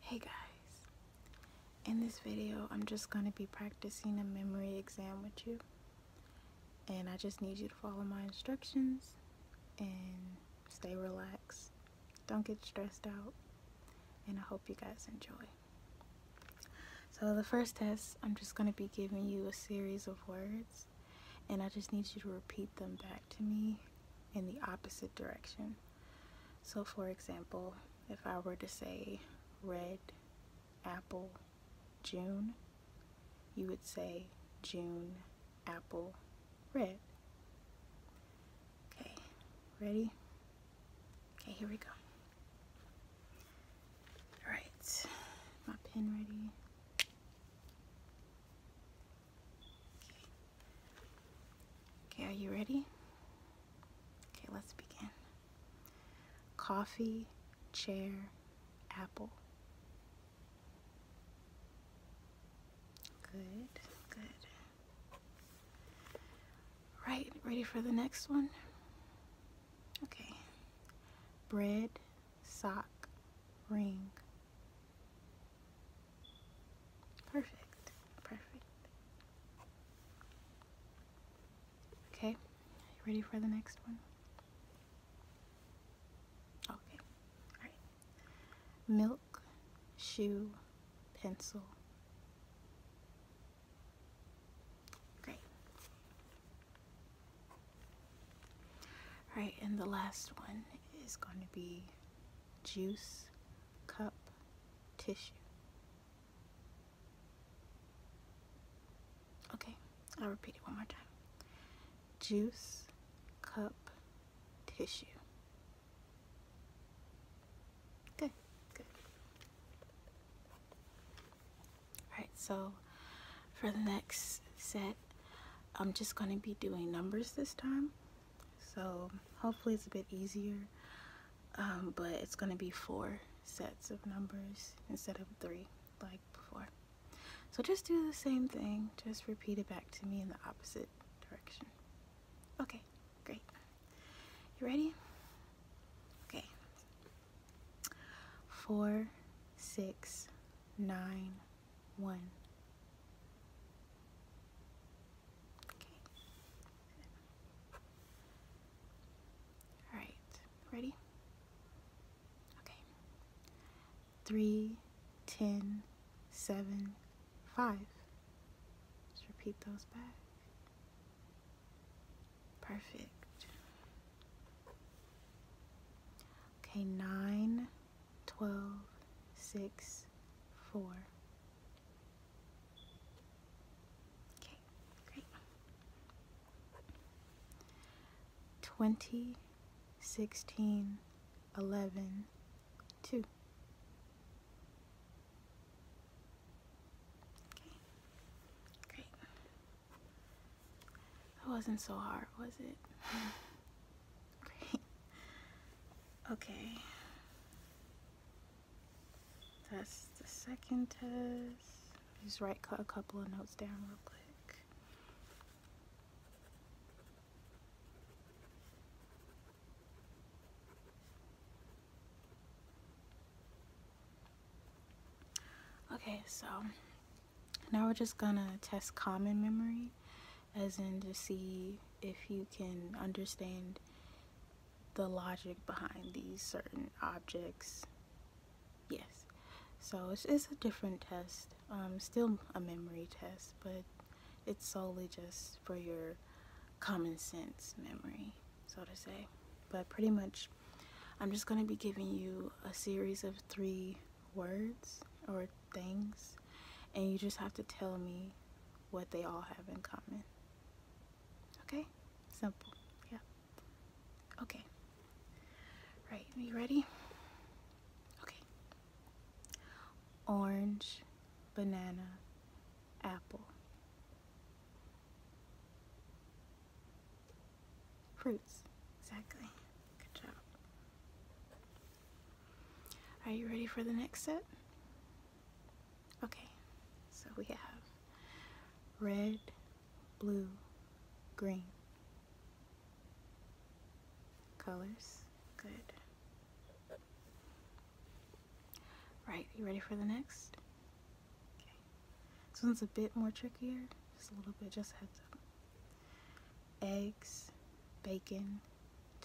Hey guys, in this video I'm just going to be practicing a memory exam with you and I just need you to follow my instructions and stay relaxed, don't get stressed out and I hope you guys enjoy. So the first test I'm just going to be giving you a series of words and I just need you to repeat them back to me in the opposite direction. So for example, if I were to say red apple June, you would say June apple red. Okay, ready? Okay, here we go. Alright, my pen ready. Okay, are you ready? Okay, let's begin. Coffee, chair, apple. Good, good. Right, ready for the next one? Okay. Bread, sock, ring. Perfect. Perfect. Okay. You ready for the next one? Okay. Alright. Milk, shoe, pencil. Great. Alright, and the last one is going to be juice, cup, tissue. Okay, I'll repeat it one more time. Juice, cup, tissue. Good, good. Alright, so for the next set, I'm just going to be doing numbers this time so hopefully it's a bit easier um, but it's gonna be four sets of numbers instead of three like before so just do the same thing just repeat it back to me in the opposite direction okay great you ready okay four six nine one Okay. All right. Ready? Okay. Three, ten, seven, five. Just repeat those back. Perfect. Okay, nine, twelve, six, four. Okay, great. Twenty, sixteen, eleven, two. Okay, great. That wasn't so hard, was it? great. Okay. That's the second test. Just right cut a couple of notes down real quick. Okay, so now we're just gonna test common memory as in to see if you can understand the logic behind these certain objects. Yes. So it's, it's a different test. Um, still a memory test, but it's solely just for your common sense memory, so to say. But pretty much, I'm just going to be giving you a series of three words or things, and you just have to tell me what they all have in common. Okay? Simple. Yeah. Okay. Right, are you ready? Okay. Orange, banana, apple. Fruits. Exactly. Good job. Are you ready for the next set? Okay, so we have red, blue, green colors. Good. Right, you ready for the next? Okay. This one's a bit more trickier. Just a little bit, just heads up. Eggs, bacon,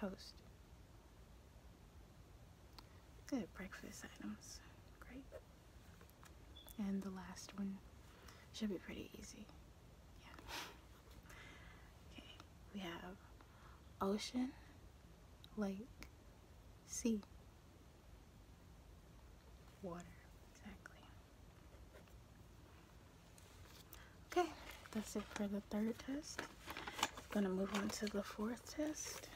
toast. Good breakfast items. Great. And the last one should be pretty easy. Yeah. Okay. We have ocean, lake, sea, water. Exactly. Okay. That's it for the third test. I'm going to move on to the fourth test.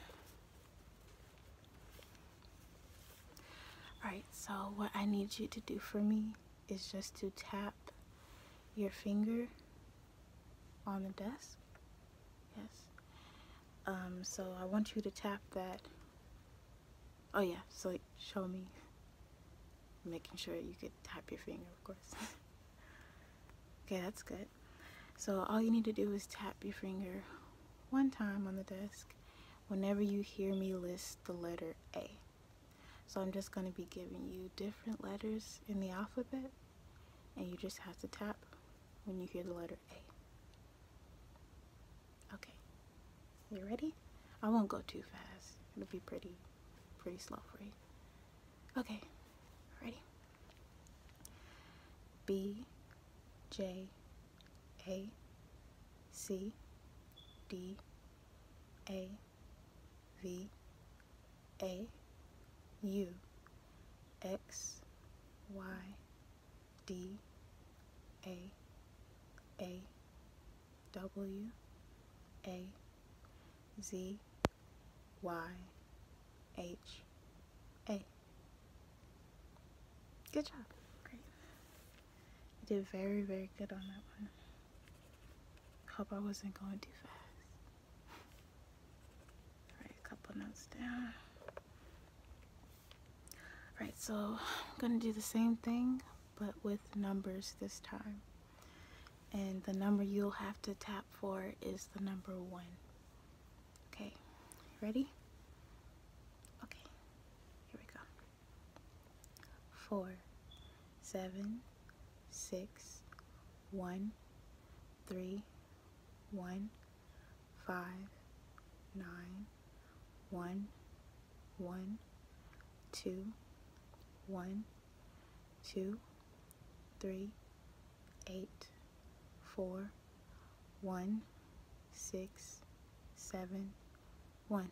Alright, so what I need you to do for me is just to tap your finger on the desk. Yes. Um, so I want you to tap that. Oh yeah, so show me. Making sure you can tap your finger, of course. Okay, that's good. So all you need to do is tap your finger one time on the desk whenever you hear me list the letter A. So I'm just going to be giving you different letters in the alphabet and you just have to tap when you hear the letter A. Okay, you ready? I won't go too fast. It'll be pretty, pretty slow for you. Okay, ready? B J A C D A V A U X Y D A A W A Z Y H a. Good job. Great. You did very, very good on that one. Hope I wasn't going too fast. Right, a couple notes down. Alright, so I'm going to do the same thing, but with numbers this time. And the number you'll have to tap for is the number one. Okay, ready? Okay, here we go. Four, seven, six, one, three, one, five, nine, one, one, two, one, two, three, eight, four, one, six, seven, one.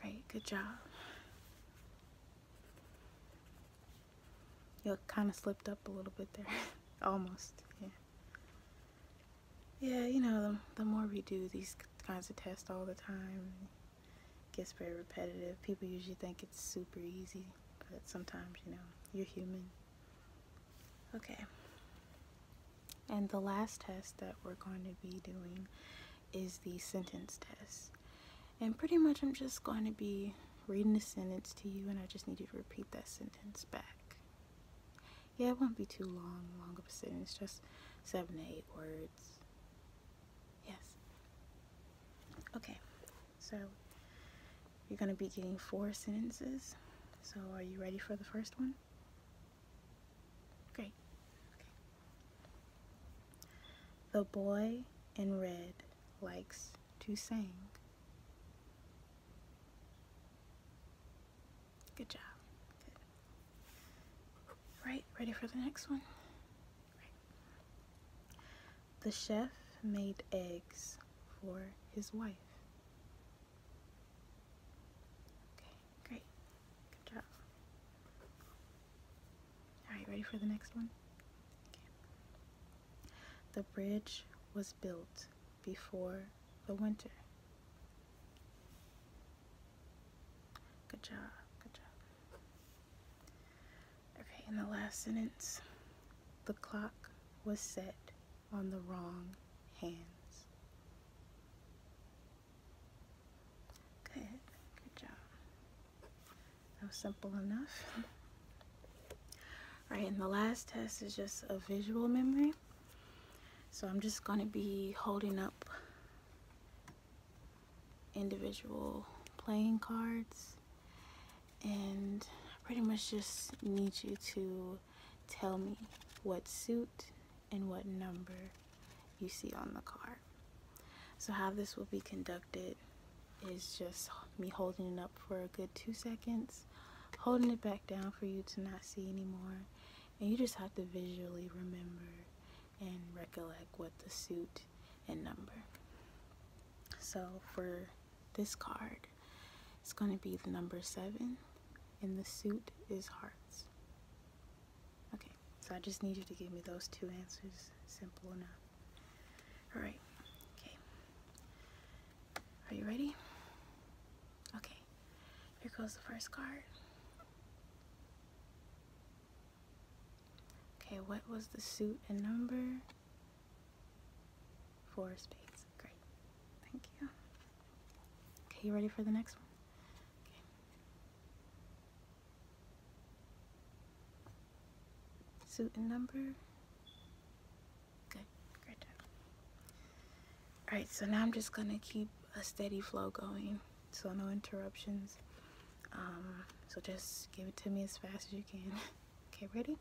Great, good job. You kind of slipped up a little bit there. Almost, yeah. Yeah, you know, the, the more we do these kinds of tests all the time, gets very repetitive. People usually think it's super easy but sometimes, you know, you're human. Okay. And the last test that we're going to be doing is the sentence test. And pretty much I'm just going to be reading the sentence to you and I just need you to repeat that sentence back. Yeah, it won't be too long, long of a sentence, just seven to eight words. Yes. Okay, so you're going to be getting four sentences. So are you ready for the first one? Great. Okay. The boy in red likes to sing. Good job. Good. Right, ready for the next one? The chef made eggs for his wife. Okay, great. Good job. Alright, ready for the next one? The bridge was built before the winter. Good job, good job. Okay, in the last sentence, the clock was set on the wrong hands. Good, good job. That was simple enough. All right, and the last test is just a visual memory. So I'm just gonna be holding up individual playing cards and I pretty much just need you to tell me what suit and what number you see on the card. So how this will be conducted is just me holding it up for a good two seconds, holding it back down for you to not see anymore, and you just have to visually remember and recollect what the suit and number. So for this card is going to be the number seven, and the suit is hearts. Okay, so I just need you to give me those two answers. Simple enough. All right. Okay. Are you ready? Okay. Here goes the first card. Okay, what was the suit and number? Four space, Great. Thank you. Okay, you ready for the next one? Okay. Suit and number. Good. Great job. Alright, so now I'm just gonna keep a steady flow going. So no interruptions. Um, so just give it to me as fast as you can. okay, ready? Okay.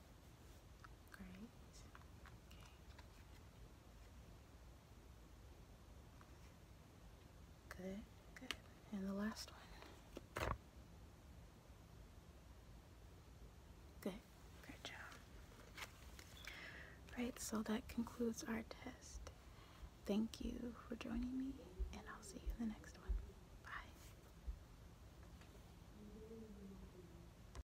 Great. Okay. Good, good. And the last one. Good, good job. Right, so that concludes our test. Thank you for joining me, and I'll see you in the next one. Bye.